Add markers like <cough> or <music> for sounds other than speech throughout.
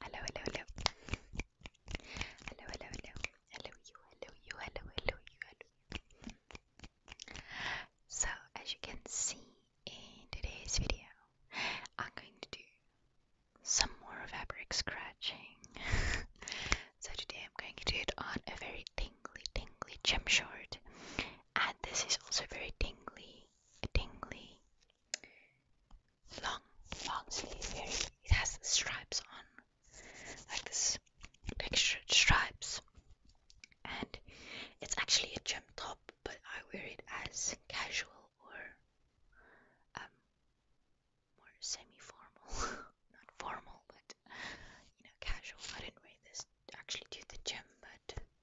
Hello, hello, hello. Hello, hello, hello. Hello, you, hello, you, hello, hello, you, hello. So, as you can see in today's video, I'm going to do some more fabric scratching. <laughs> so, today I'm going to do it on a very tingly, tingly gym short. And this is also very tingly tingly long long sleeve it has stripes on like this textured stripes and it's actually a gem top but I wear it as casual or um, more semi-formal <laughs> not formal but you know casual I didn't wear this actually to the gym but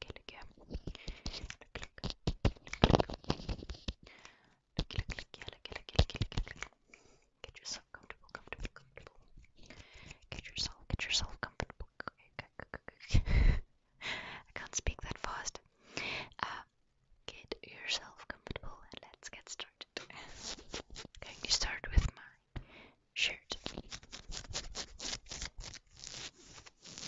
Get yourself comfortable, Get yourself, get yourself comfortable. <laughs> I can't speak that fast. Uh, get yourself comfortable and let's get started. Can you start with my shirt?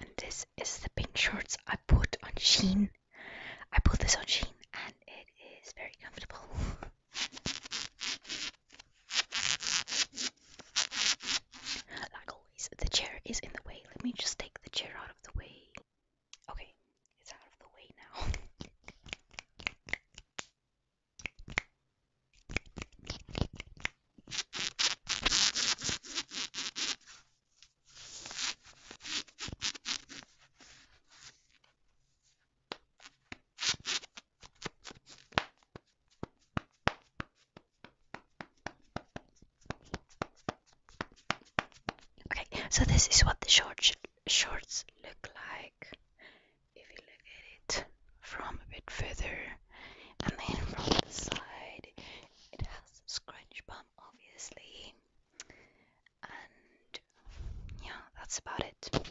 And this is the pink shorts I bought on Sheen. I bought this on Sheen and it is very comfortable. Like always, the chair is in the way. Let me just take the chair out of the way. Okay, it's out of the way now. <laughs> Okay, so this is what the shorts shorts look like if you look at it from a bit further and then from the side it has a scrunch bum, obviously, and yeah, that's about it.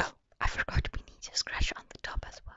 Oh, I forgot we need to scratch on the top as well.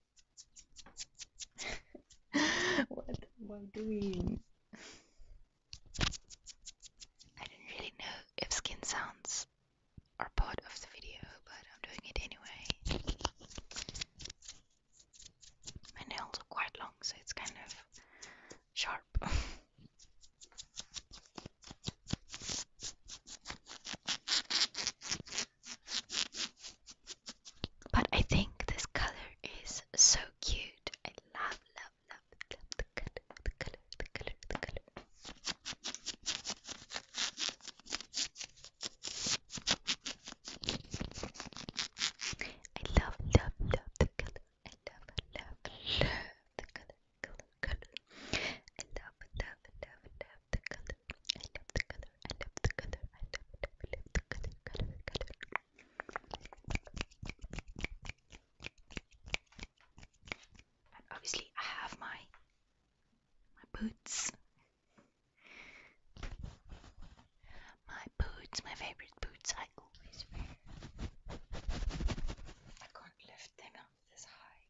what am I doing? I don't really know if skin sounds are part of the video, but I'm doing it anyway. My nails are quite long, so it's kind of sharp. <laughs> But I think this color is so cute. I love, love, love, love the color, the color, the color, the color. I love, love, love the color. I love, love, love the color, color, color. I love, love, love, love, love the color. I love the color. I love the color. I love it. I love the color. Color. Color. And obviously, I have my my boots. My boots, my favorite boots. I always wear. I can't lift them up this high,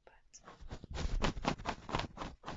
but.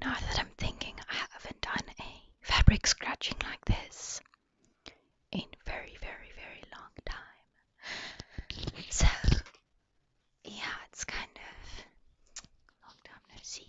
Now that I'm thinking, I haven't done a fabric scratching like this in very, very, very long time. So yeah, it's kind of long time no see.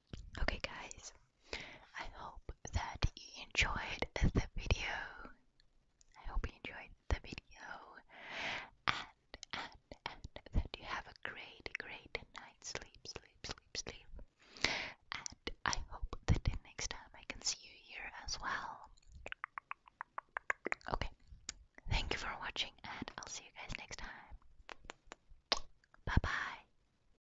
Okay, guys, I hope that you enjoyed the video. I hope you enjoyed the video and, and, and that you have a great, great night's sleep, sleep, sleep, sleep. And I hope that next time I can see you here as well. Okay, thank you for watching, and I'll see you guys next time. Bye bye.